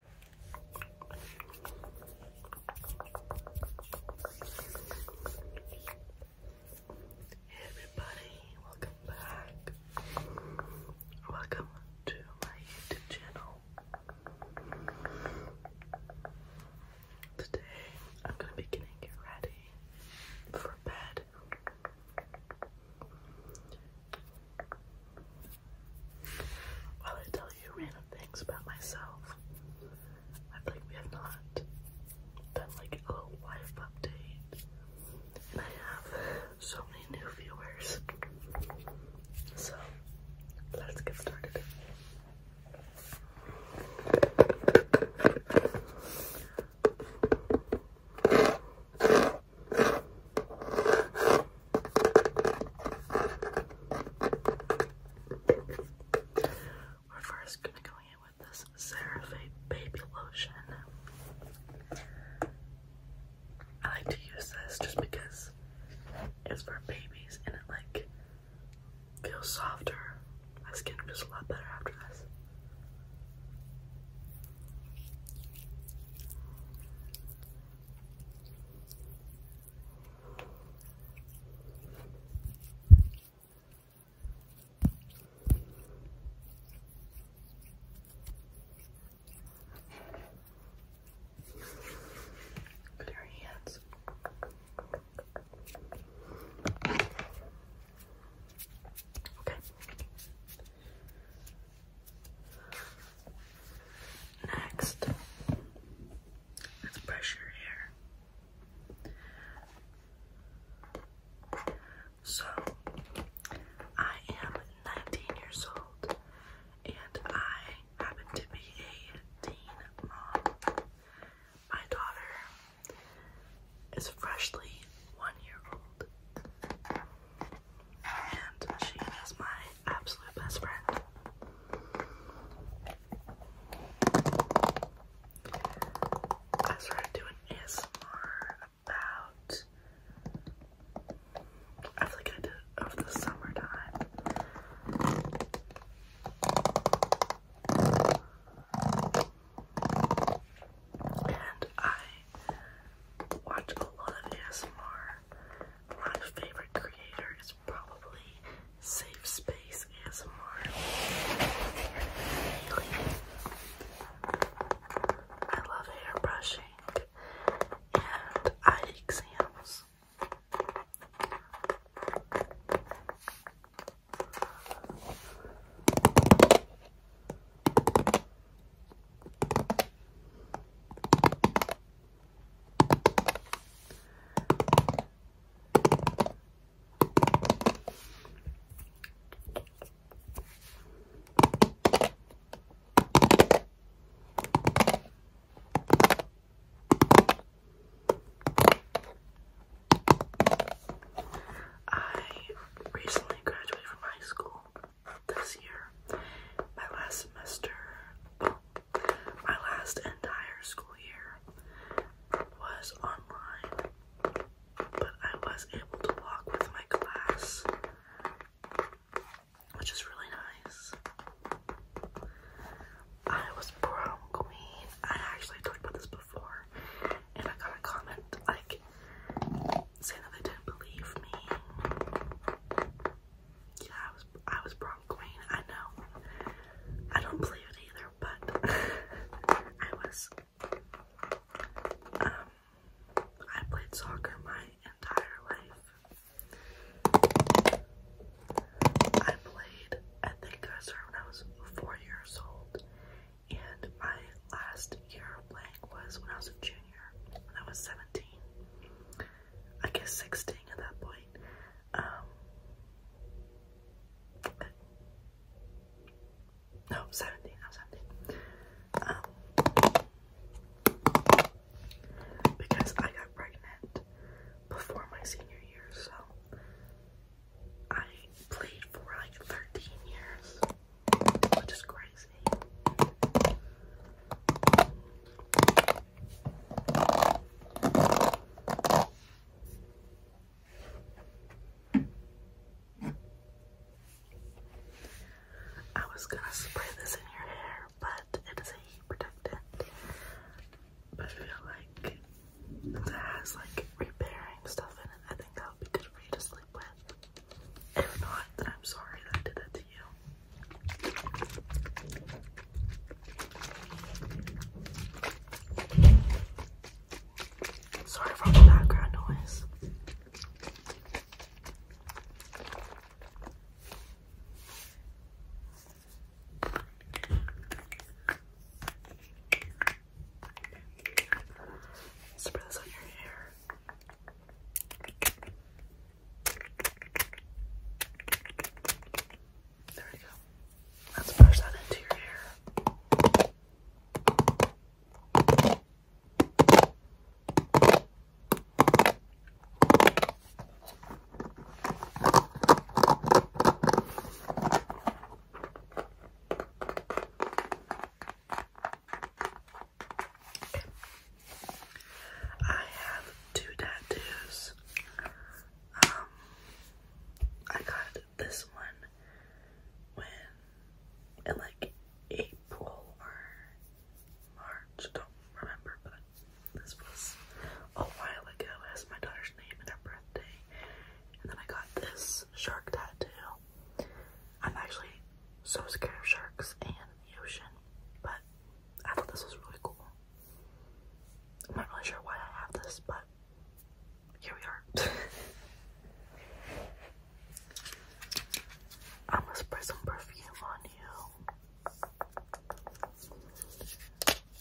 Hey everybody, welcome back. Welcome to my YouTube channel. Today I'm gonna be getting ready for bed. While I tell you random things about myself, I think we have not done like a life update. And I have so many new viewers. So let's get started. We're first gonna go in with this CeraVe baby lotion. I like to use this just because it's for babies and it like feels softer. My skin just a lot better after this. Clear hands. Okay. Next, let's brush your hair. So, I am 19 years old and I happen to be a teen mom. My daughter is freshly one year old. And she is my my absolute best friend. I started doing ASMR about, I feel like I the summertime. And I watch a lot of ASMR my favorite creator is probably Safe Space ASMR. I love hair brushing and eye exams. I recently graduated from high school this year. My last semester, my last entire school year was online, but I was able to walk with my class, which is really nice. I was prom queen. I actually talked about this before, and I got a comment like saying that they didn't believe me. Yeah, I was I was prom queen. I know. I don't believe it either, but I was. Um, I played soccer my entire life. I played. I think I started when I was four years old, and my last year of playing was when I was a junior. When I was seventeen. I guess sixteen at that point. Um, no, seventeen. seventeen. Um, because I got pregnant before my senior year, so I played for like thirteen years, which is crazy. I was gonna spray this in your hair, but it is a heat protectant. But I feel like it has like repairing stuff in it. I think that would be good for you to sleep with. If not, then I'm sorry I did that to you. Sorry for the background noise. Spread this on your hair. There we go. Let's brush that into your hair. Okay. I have two tattoos. Um, I got this one when in like April or March, I don't remember, but this was a while ago as my daughter's name and her birthday. And then I got this shark tattoo. I'm actually so scared of sharks and the ocean, but I thought this was really cool. I'm not really sure why I have this, but here we are. I'm gonna spray some perfume on you.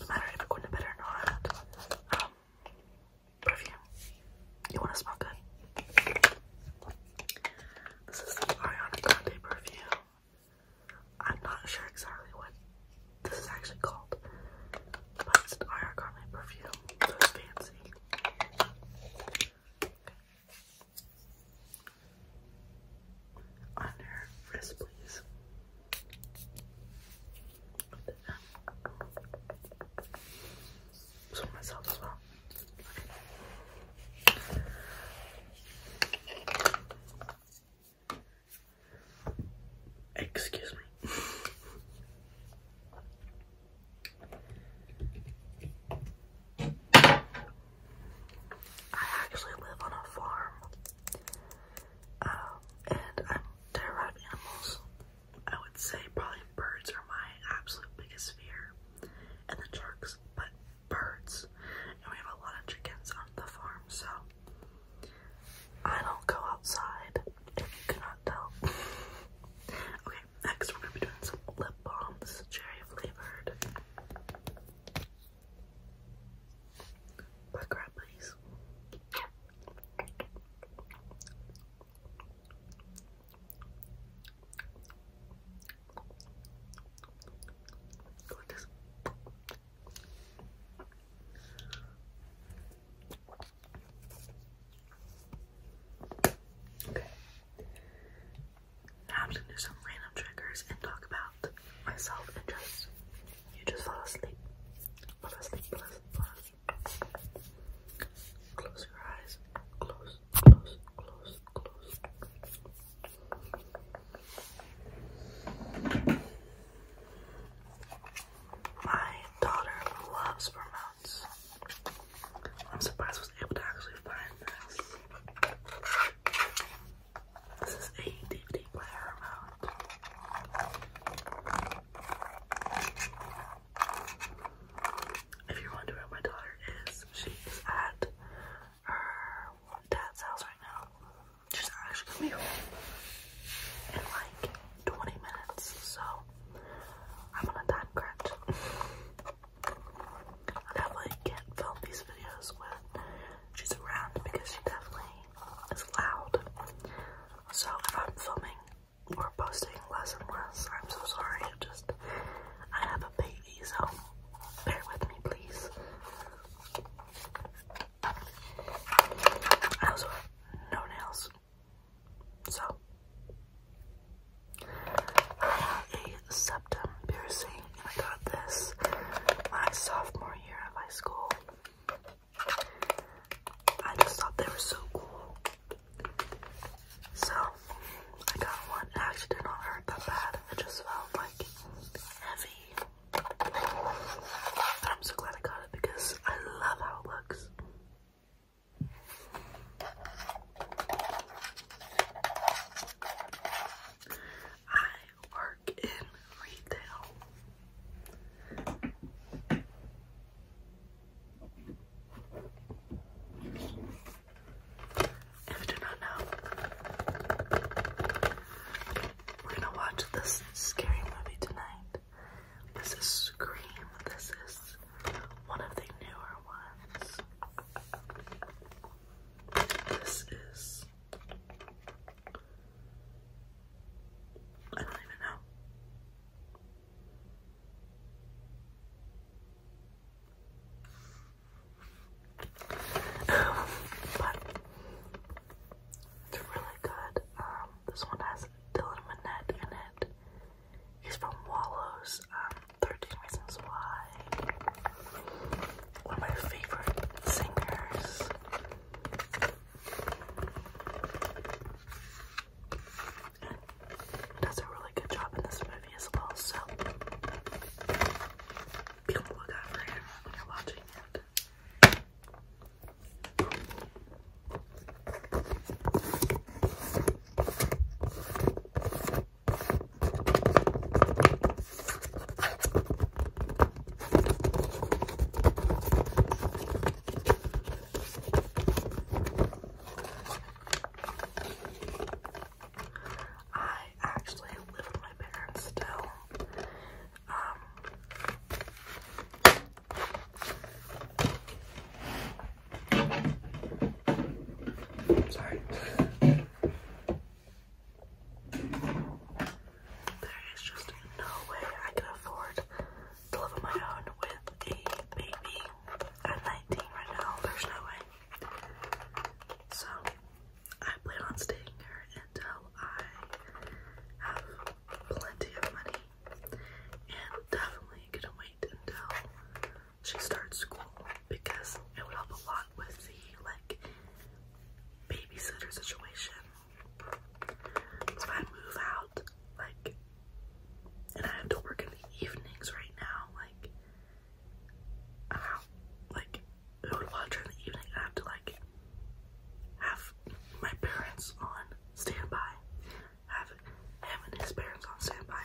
No matter if you going to bed or not, um, perfume. You wanna smell good? This is the Ariana Grande perfume. I'm not sure exactly what this is actually called, but it's an IR Garment perfume, so fancy. Okay. please. So myself as well. Excuse me. I actually live on a farm. Um, and I'm animals. I would say probably birds are my absolute biggest fear. And the sharks, but birds, and we have a lot of chickens on the farm, so I don't go outside if you cannot tell. okay, next we're gonna be doing some lip balm. cherry flavored. Black rat, please. Okay. I'm gonna do some random triggers and talk about myself and just you just fall asleep. Fall asleep. Close your eyes. Close, close, close, close. My daughter loves Vermounts. I'm surprised I was able to actually find this. This is a DVD player amount. If you're wondering where my daughter is, she at her dad's house right now. She's actually gonna be home in like 20 minutes, so I'm on a time crunch. I definitely can't film these videos when she's around because she definitely is loud. So if I'm filming or posting less and less, I'm so sorry. It just I have a baby baby, so bear with me, please. I also have no nails, so I have a septum piercing, I got this my sophomore year of high school. I just thought they were so cool. So, I got one. actually did not hurt that bad. It just felt like I'm so glad I got it because I love how it looks. I work in retail. If you do not know, we're gonna watch this scary movie tonight. This is Scream. This is one of the newer ones. This is. I don't even know but it's really good. Um, this one has Dylan Minnette in it. He's from Wallows, um, 13 Reasons Why. One of my favorite singers. does a really good job in this movie as well, so be on the lookout for watching it. I actually live with my parents still. Um, sorry. there is just no way I can afford to live on my own with a baby. i 19 right now. There's no way. So I plan on staying here until I have plenty of money and definitely gonna wait until she starts school because it would help a lot with the like babysitter situation. If I move out, like, and I have to work in the evenings right now, like, how, like, I would watch in the evening. I have to like have my parents on standby. Have him his parents on standby.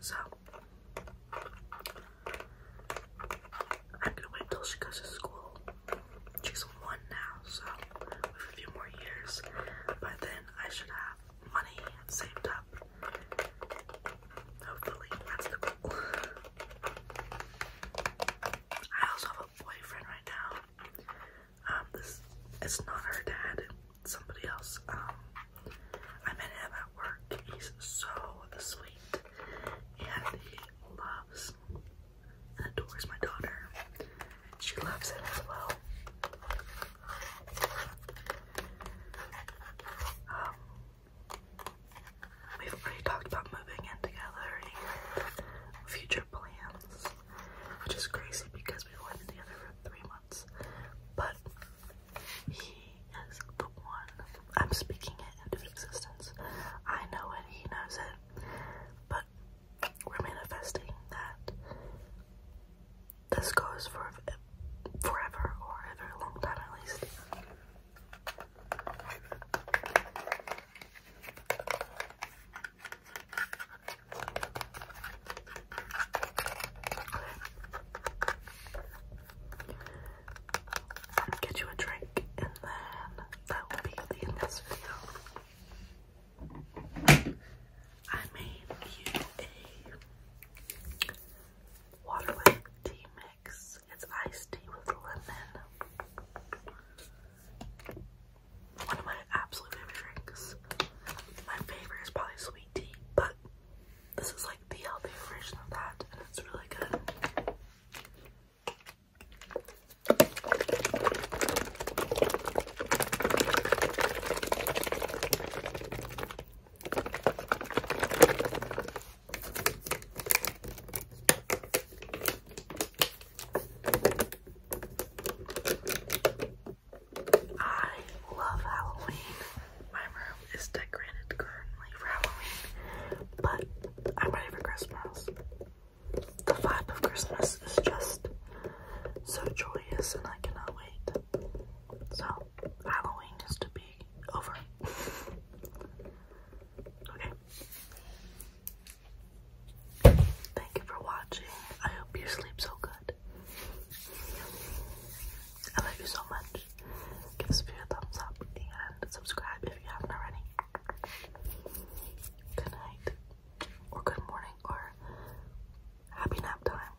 So I'm gonna wait till she goes to school. She's one now, so we have a few more years. But then I should have money saved up Hopefully, that's the goal. I also have a boyfriend right now. Um, this it's not her dad, it's somebody else. Um, I met him at work. He's so sweet, and he loves and adores my daughter. She loves him as well. Um, We've already talked about moving in together and future plans, which is crazy because we've only together for three months. But he is the one. I'm speaking it into existence. I know it, he knows it. But we're manifesting that this goes for forever or a long time at least. Get you a drink and then that will be the end of this video. I made you a watermelon tea it's iced tea with lemon. One of my absolute favorite drinks. My favorite is probably sweet tea, but this is like the healthy version of that, and it's really good. I love Halloween. My room is decorated currently for Halloween, but I'm ready for Christmas. The vibe of Christmas is just so joyous and I cannot wait. So Halloween just to be over. okay. Thank you for watching. I hope you sleep so good. I love you so much. Give this a thumbs up and subscribe if you haven't already. Good night, or good morning, or happy nap time.